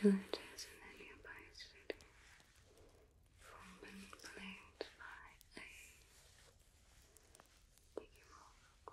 Villages in the nearby city from being plagued by a Digimon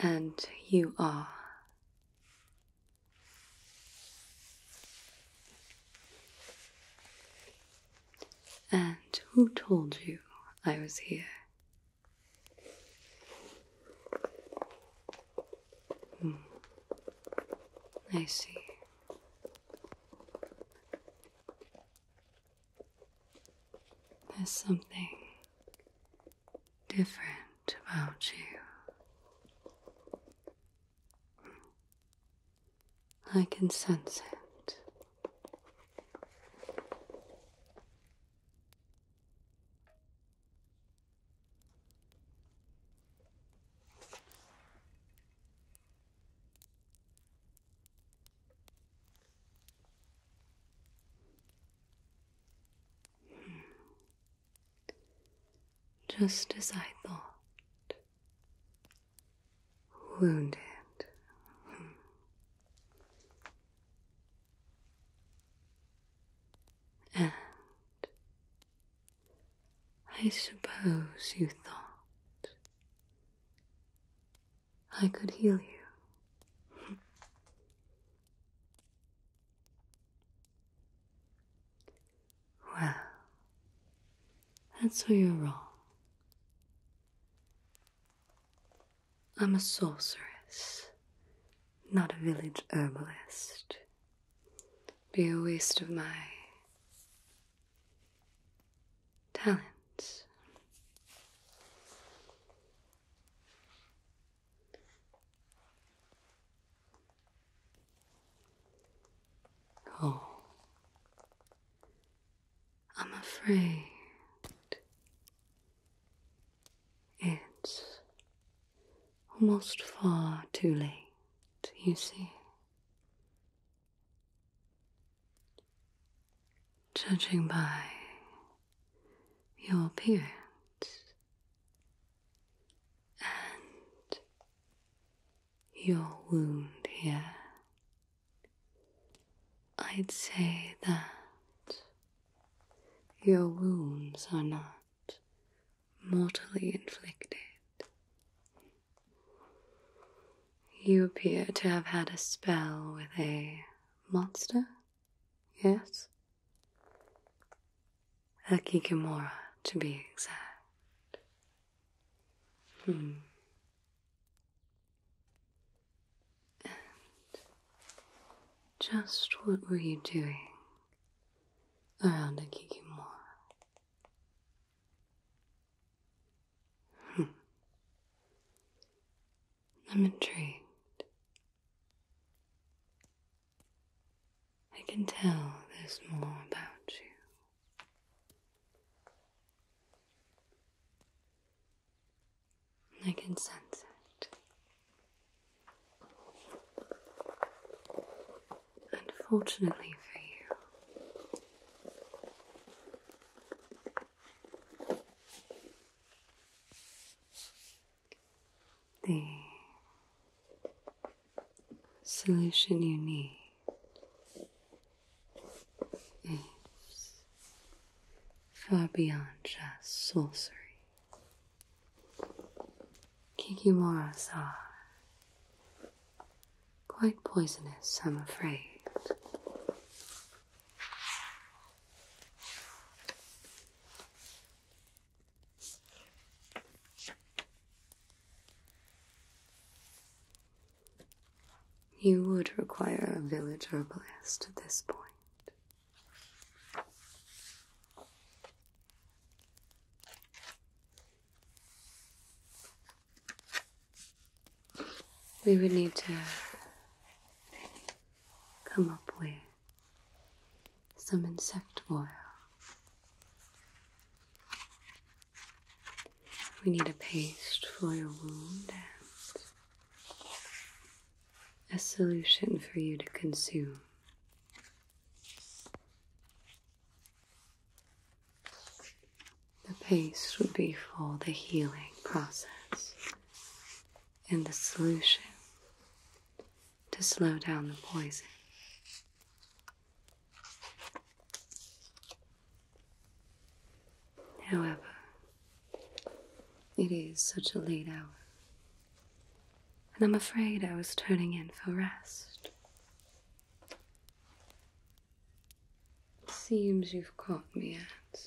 And you are. And who told you I was here? Hmm. I see. There's something different about you. I can sense it. Just as I thought. Wounded. And I suppose you thought I could heal you. well, that's where you're wrong. I'm a sorceress, not a village herbalist. Be a waste of my talents. Oh, I'm afraid it's almost far too late, you see. Judging by your appearance and your wound here, I'd say that your wounds are not mortally inflicted. You appear to have had a spell with a monster Yes? Akikimura, to be exact. Hmm. And just what were you doing around Akikimura? Hmm. I'm intrigued. I can tell there's more about you. I can sense it. Unfortunately for you, the solution you need is far beyond just sorcery. Kikimuras are quite poisonous, I'm afraid. You would require a village herbalist at this point we would need to come up with some insect oil. We need a paste for your wound and a solution for you to consume. The paste would be for the healing process and the solution to slow down the poison. However, it is such a late hour, and I'm afraid I was turning in for rest. Seems you've caught me at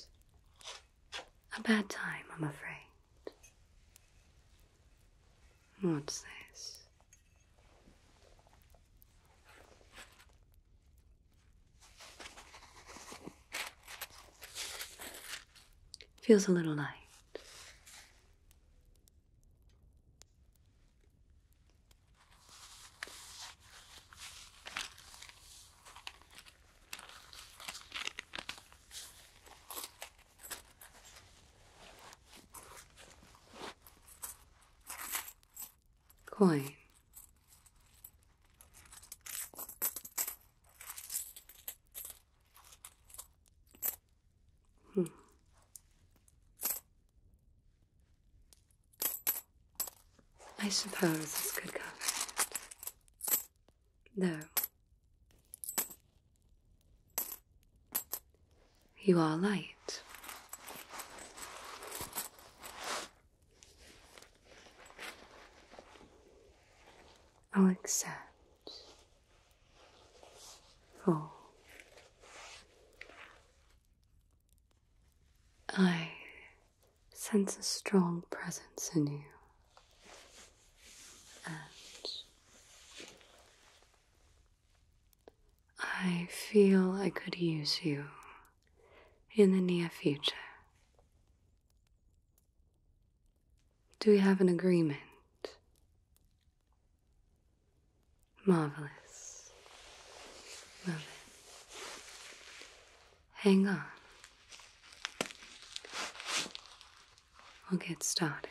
a bad time, I'm afraid. What's this? Feels a little light. Coin. Hmm. I suppose this could cover it. Though, you are light. I'll accept for I sense a strong presence in you and I feel I could use you in the near future. Do we have an agreement? Marvelous. Love it. Hang on. We'll get started.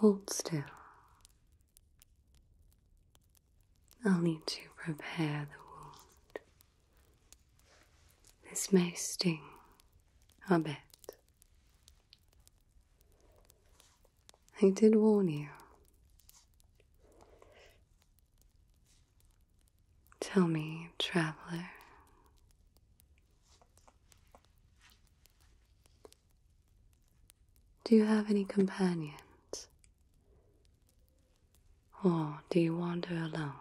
Hold still. i need to prepare the wound. This may sting a bit. I did warn you. Tell me, traveler, do you have any companions? Or do you wander alone?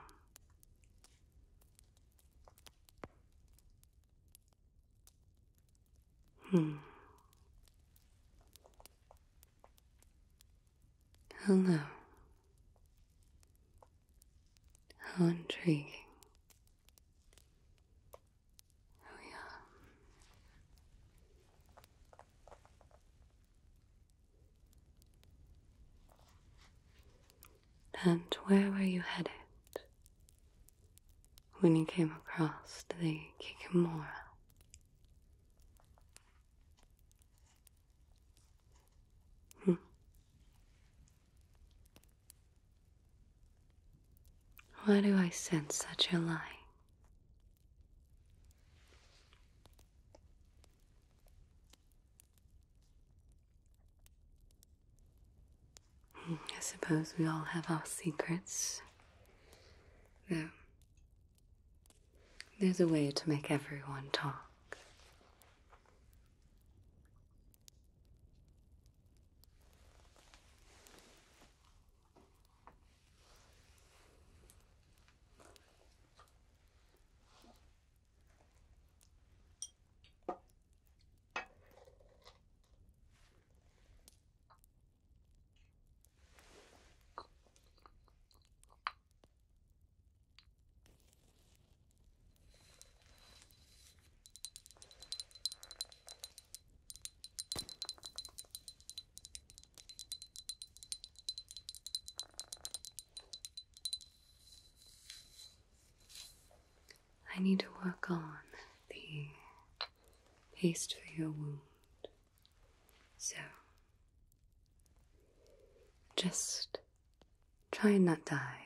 Hmm. Hello. How intriguing. Oh, yeah. And where were you headed when you came across the Kikimora? Hmm. Why do I sense such a lie? Hmm, I suppose we all have our secrets. Though there's a way to make everyone talk. I need to work on the paste for your wound. So, just try and not die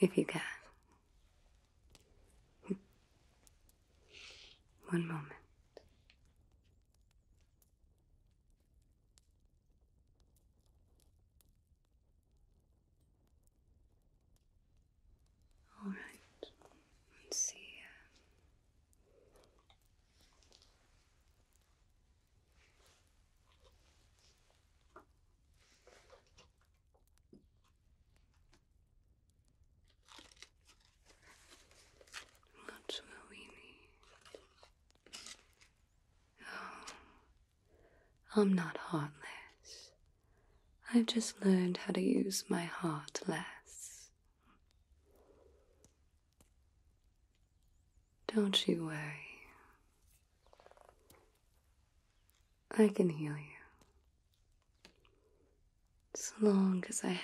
if you can. One moment. All see. Uh, that's what we need. Oh, I'm not heartless. I've just learned how to use my heart less. Don't you worry. I can heal you. So long as I have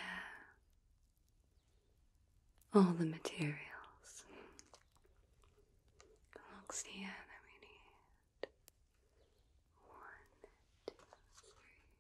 all the materials. Looks here that we need. One, two, three.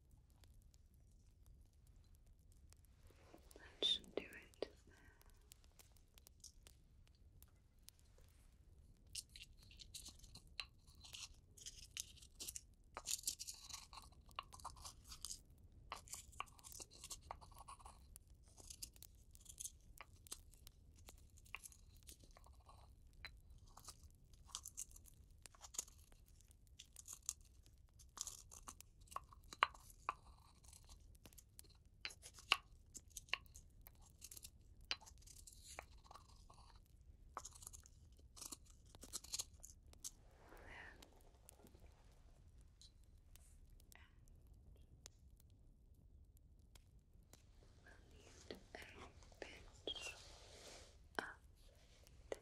That should do it there we'll need a pinch of this.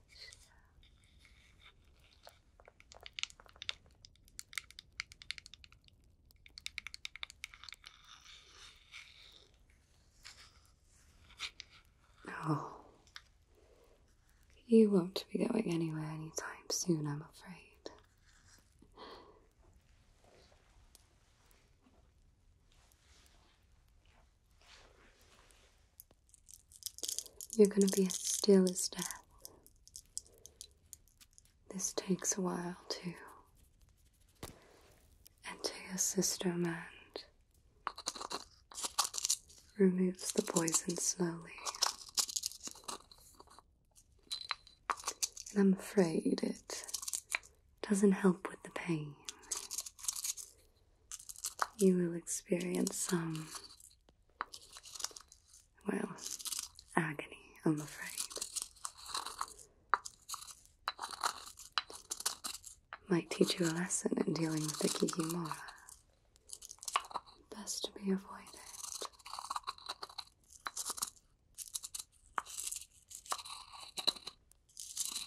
Yellow. Oh, you won't be going anywhere anytime soon, I'm afraid. You're gonna be as still as death. This takes a while, too. Enter your system and removes the poison slowly. And I'm afraid it doesn't help with the pain you will experience some, well, agony, I'm afraid. Might teach you a lesson in dealing with the Kikimora. Best to be avoided.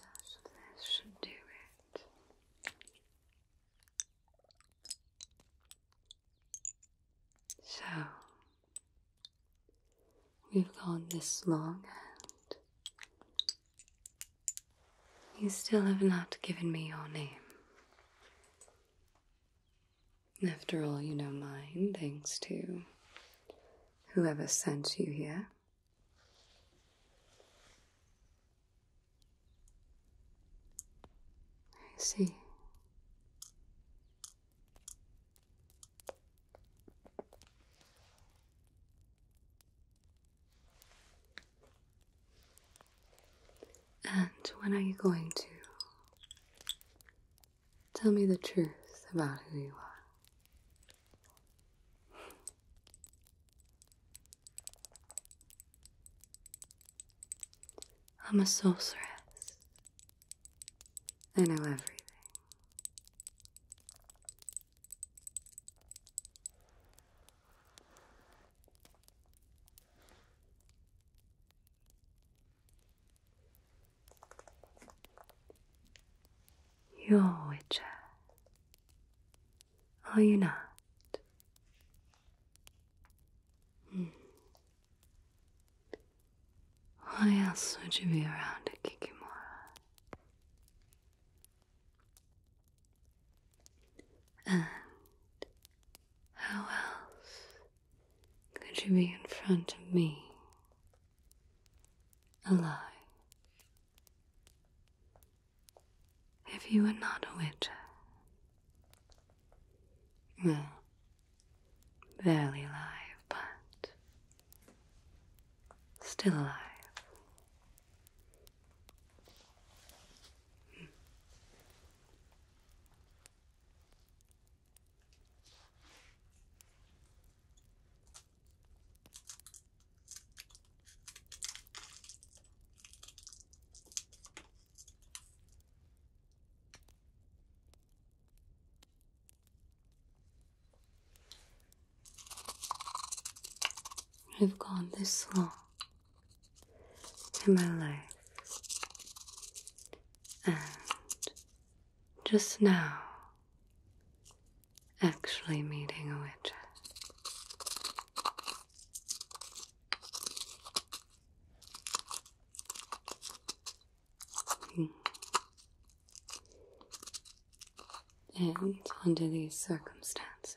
And a should do it. So, we've gone this long and you still have not given me your name. After all, you know mine, thanks to whoever sent you here. I see. And when are you going to Tell me the truth about who you are. I'm a sorceress. I know everything. You're a witcher, are you not? Hmm. Why else would you be around at Kikimora? And how else could you be in front of me? Alive. If you were not a witch. Well, barely alive, but still alive. Hmm. I've gone this long in my life, and just now actually meeting a witch. And under these circumstances,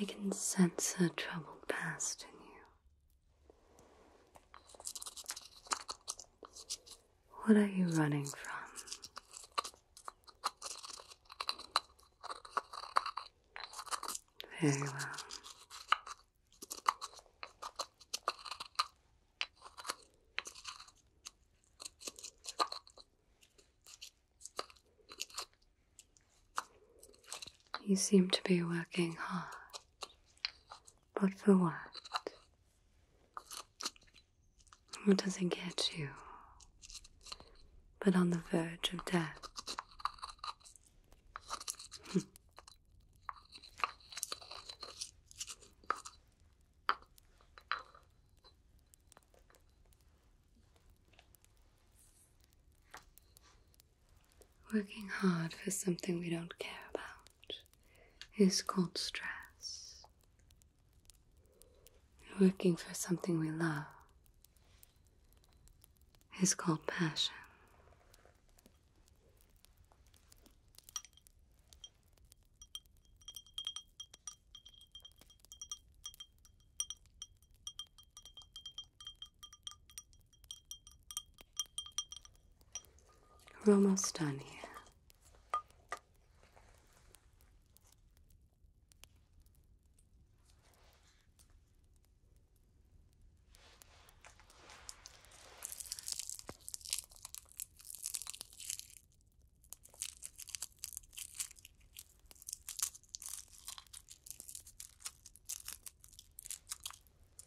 I can sense a troubled past in you. What are you running from? Very well. You seem to be working hard. But for what? What does it get you? But on the verge of death. Working hard for something we don't care about is called stress. Working for something we love is called passion. We're almost done here.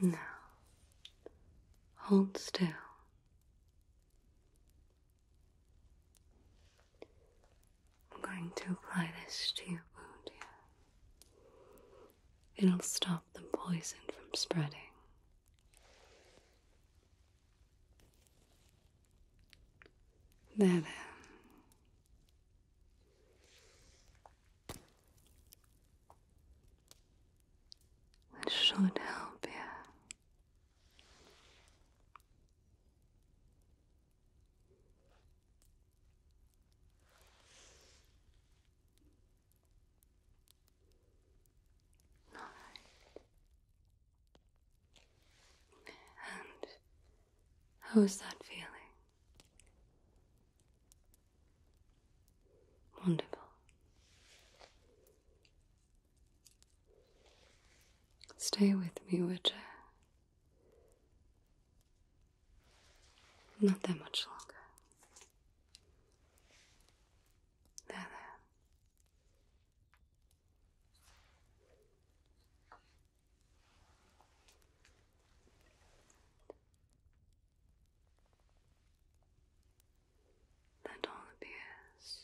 Now, hold still. I'm going to apply this to your wound here. It'll stop the poison from spreading. There, there. should help you. All right. And how's that feeling? Wonderful. Stay with me, Witcher. Not that much longer. There, there. That all appears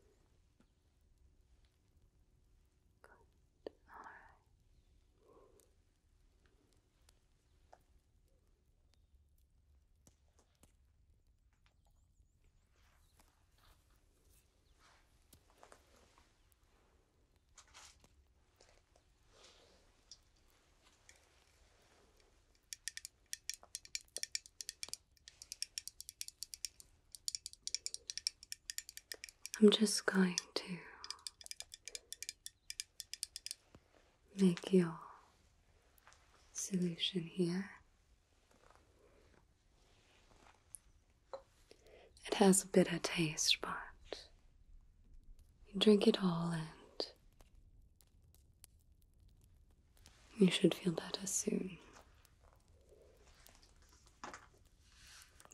good. All right. I'm just going to make your solution here it has a bitter taste, but you drink it all and you should feel better soon.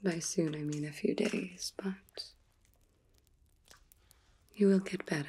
By soon, I mean a few days, but you will get better.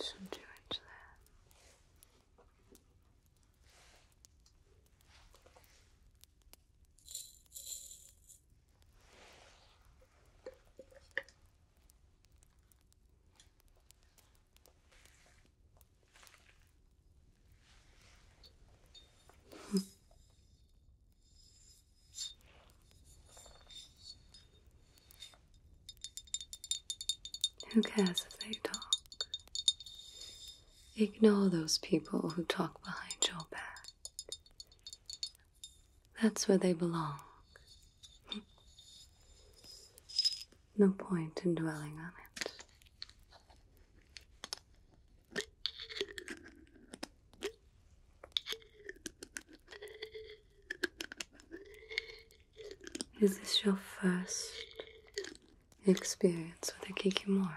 Some two inch there. Hmm. Who cares if they talk? Ignore those people who talk behind your back. That's where they belong. No point in dwelling on it. Is this your first experience with a Kikimora?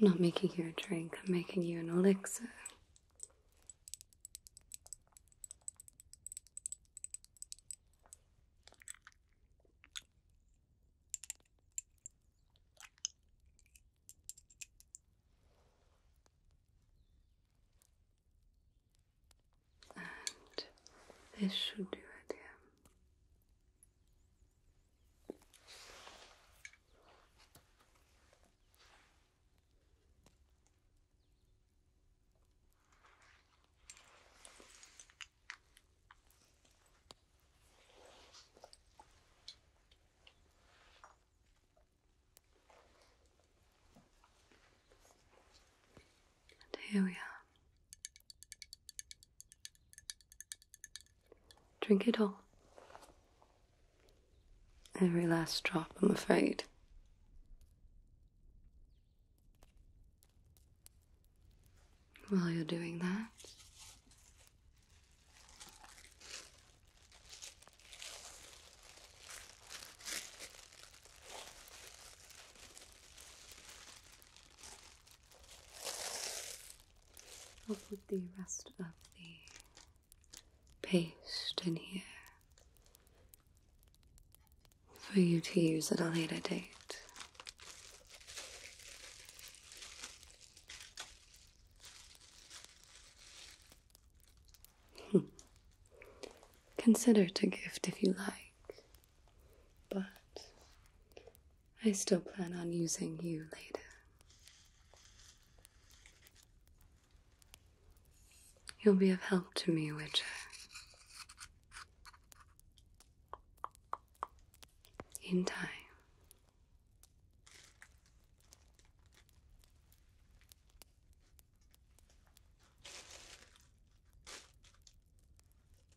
I'm not making you a drink, I'm making you an elixir. And this should do it, yeah. And here we are. Drink it all. Every last drop, I'm afraid. While you're doing that, I'll put the rest of the paste in here for you to use at a later date. Hmm. Consider it a gift if you like, but I still plan on using you later. You'll be of help to me, Witcher. In time.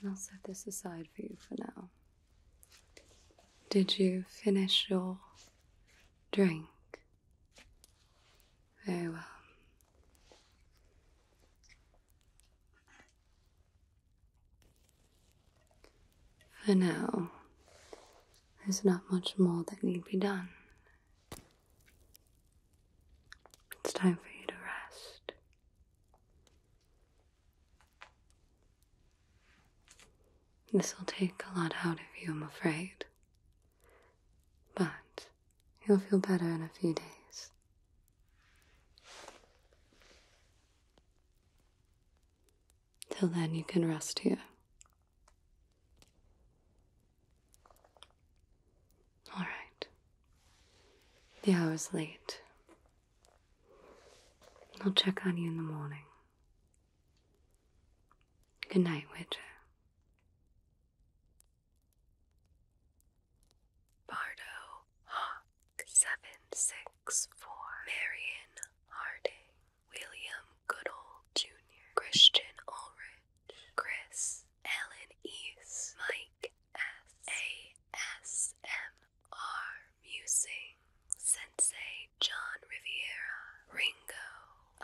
And I'll set this aside for you for now. Did you finish your drink? Very well. For now, there's not much more that need be done. It's time for you to rest. This will take a lot out of you, I'm afraid. But you'll feel better in a few days. Till then, you can rest here. All right. The hour's late. I'll check on you in the morning. Good night, Witcher. Bardo Hawk 764 Marion Harding William Goodall Jr., Christian Ulrich, Chris, Ellen East, Mike S. A. S. M. R. Musing, Sensei John Riviera, Ringo,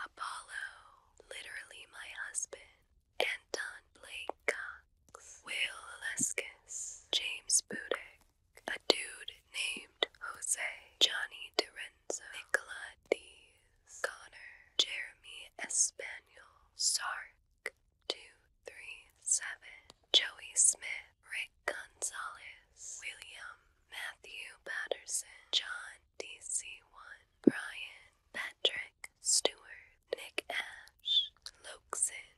Apollo, literally my husband, Anton Blake Cox, Will Leskis, James Budek, a dude named Jose, Johnny DiRenzo, Nicola Dees, Connor, Jeremy Espanol, Sark 237, Joey Smith, Rick Gonzalez, William, Matthew Patterson, John DC1, Brian, Patrick Stewart, Nick Ash, Lokeson.